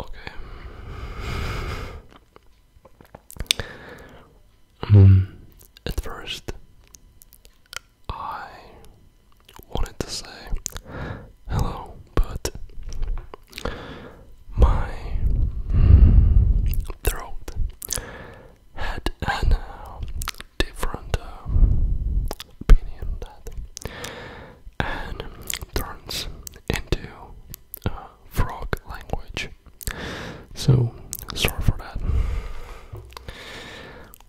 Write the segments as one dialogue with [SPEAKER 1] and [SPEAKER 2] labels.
[SPEAKER 1] Okay. Um, at first, I wanted to say hello, but my throat had an uh, different uh, opinion and turns into frog language. So, sorry for that.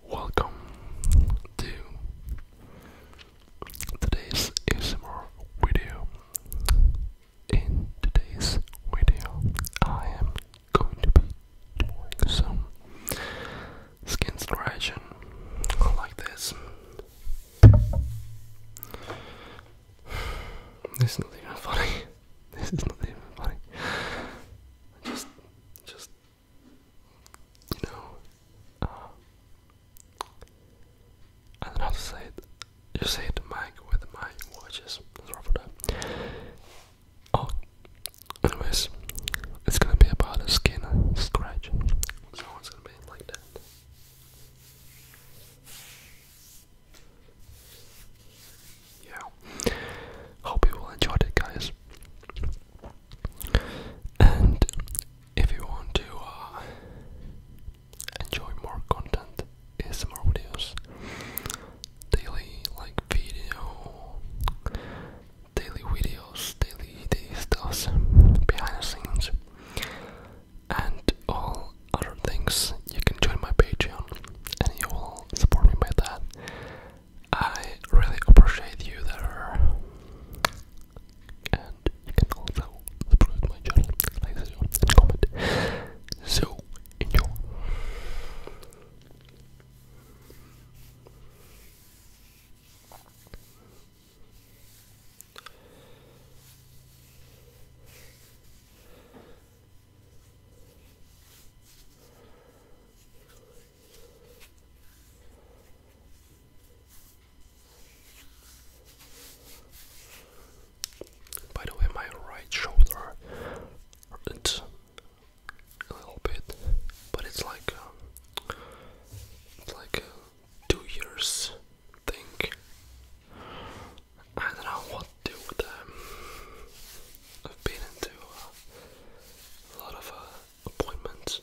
[SPEAKER 1] Welcome to today's ASMR video in today's video, I am going to be doing some skin scratching like this. This is not even funny. This is not even funny. Just, just, you know, uh, I don't know how to say it. You hit the mic with my watches. Sorry for that. Oh, anyways, it's gonna be about a skin scratch. So it's gonna be like that. Yeah. Hope you all enjoyed it, guys. And if you want to uh, enjoy more content, ASMR videos, daily like video, daily videos, daily daily behind the scenes, and all other things. You can join my Patreon, and you will support me by that. I really appreciate you there, and you can also now, subscribe to my channel, like this video, and comment. So, enjoy. By the way, my right shoulder hurts a little bit, but it's like um, like two years thing. I don't know what to do with them. I've been into a lot of uh, appointments.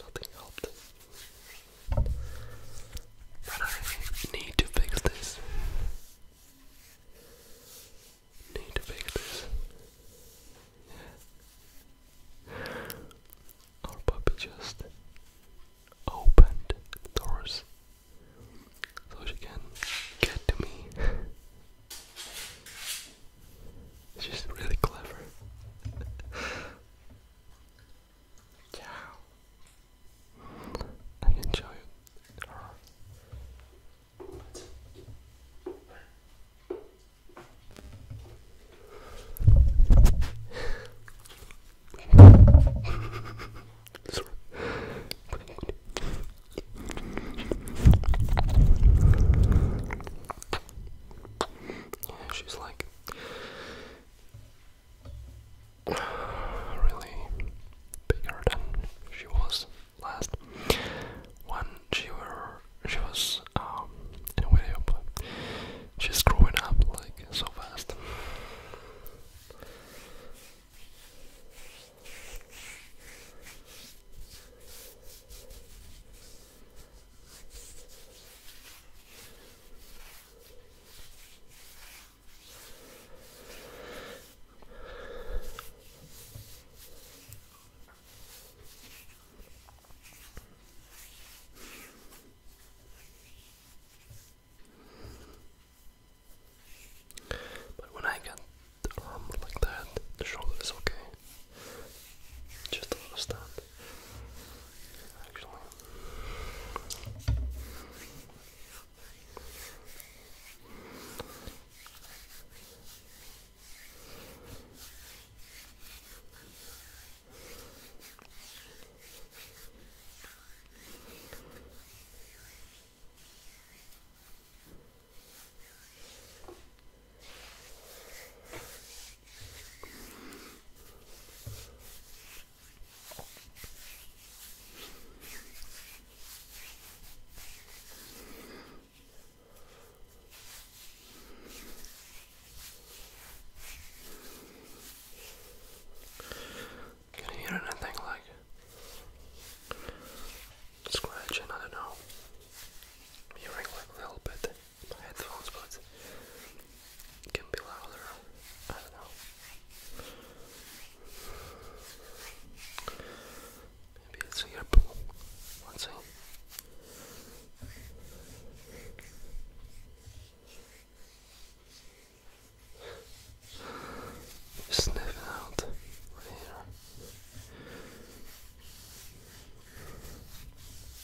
[SPEAKER 1] Nothing helped. But I need to fix this. Need to fix this. Our puppy just opened doors so she can get to me. She's really clever. Yeah. I enjoy it. Sorry. she's like really bigger than she was last when she were she was um, in video she's growing up like so fast but when I get the arm like that, the shoulder is okay. Just a actually. Okay. Can you hear anything like scratching? I don't know. Hearing like a little bit my headphones, but it can be louder. I don't know. Maybe it's a earpool. Let's sniffing out right here.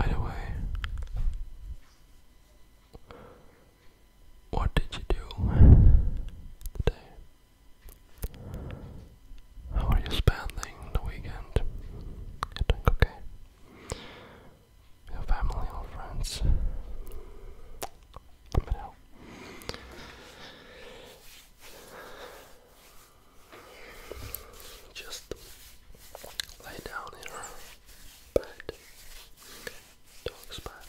[SPEAKER 1] Either way, what did you do today? How are you spending the weekend? okay? your family or friends. Let me Just lay down in your bed, dog's bed.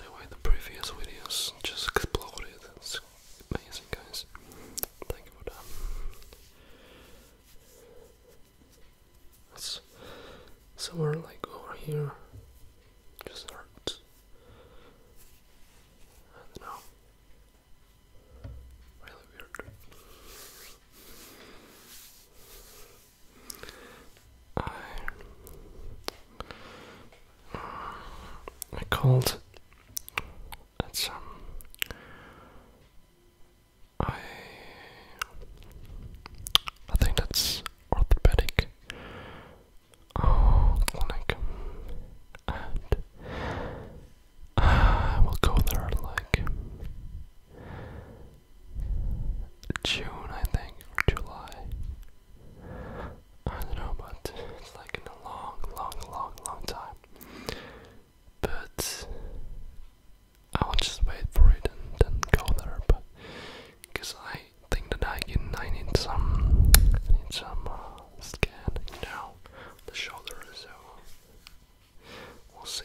[SPEAKER 1] anyway, the previous videos just exploded. It's amazing, guys. Thank you for that. It's somewhere like over here. Just hurts. I don't know. Really weird. Uh, I called at some I I think that's orthopedic uh, clinic and I uh, will go there like June I think July I don't know, but it's like in a long, long, long, long time. But I will just wait for it and then go there. But because I think that I can, I need some, I need some uh, you know, the shoulder. So we'll see.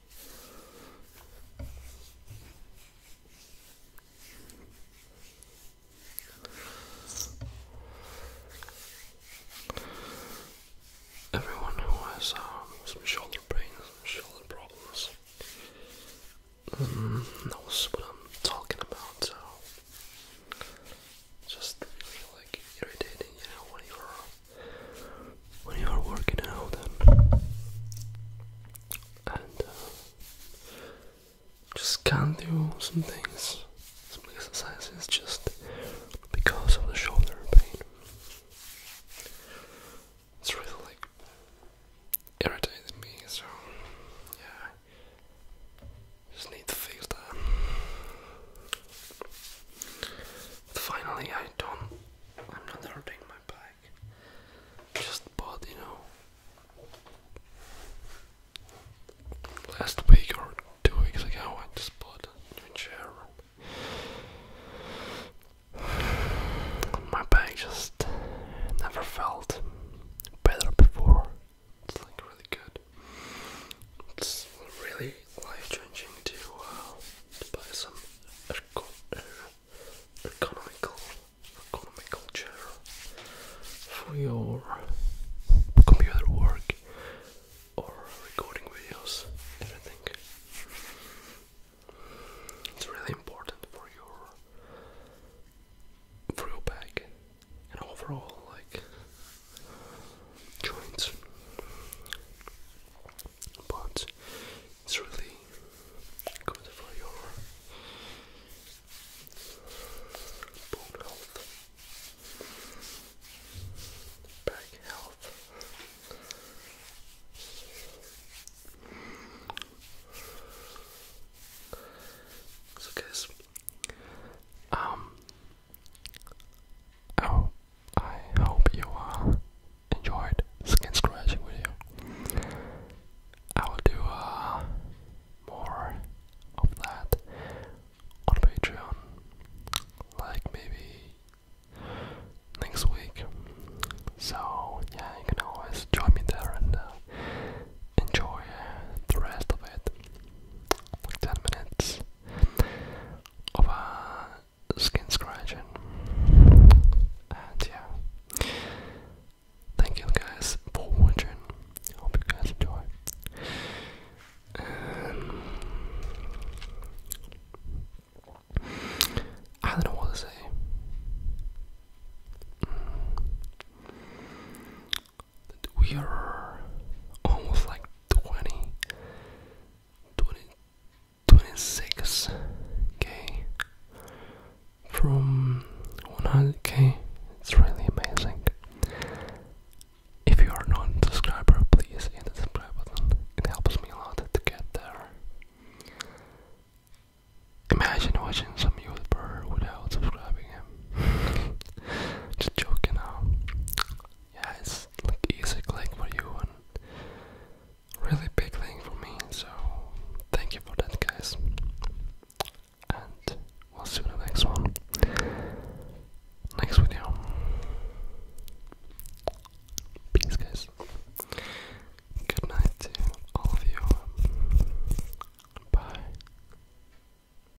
[SPEAKER 1] Everyone who has um, some shoulder pain, shoulder problems um, knows what I'm talking about. So, just really like irritating, you know, when when you are working out and, uh, just can't do some things, some exercises just because of the shoulder pain. It's really like irritated me, so yeah, just need to fix that finally I don't I'm not hurting my back. Just bought, you know last week or two weeks ago I just bought a new chair. My back just never felt better before. It's like really good. It's really very life-changing uh, to, buy some er, economical, economical chair for your computer work or recording videos, everything. It's really important for your for your back and overall like joints, but it's really good for your bone health, back health. So guys, um, Oh, I hope you uh, enjoyed skin scratchy video. I will do uh, more of that on Patreon, like maybe next week. So yeah, you can always join me there and uh, enjoy the rest of it. Like 10 minutes of a skin scratching. And yeah, thank you guys for watching. Hope you guys enjoy. Um, I don't know what to say. Mm. We are almost like 20, 20 26k from 100k. It's really amazing. If you are not a subscriber, please hit the subscribe button. It helps me a lot to get there. Imagine watching some YouTuber without subscribing him. Just joking now yeah, it's like easy click for you and really big thing for me. So thank you for that, guys. And we'll see the next one. Next video. Peace, guys. Good night to all of you. Bye.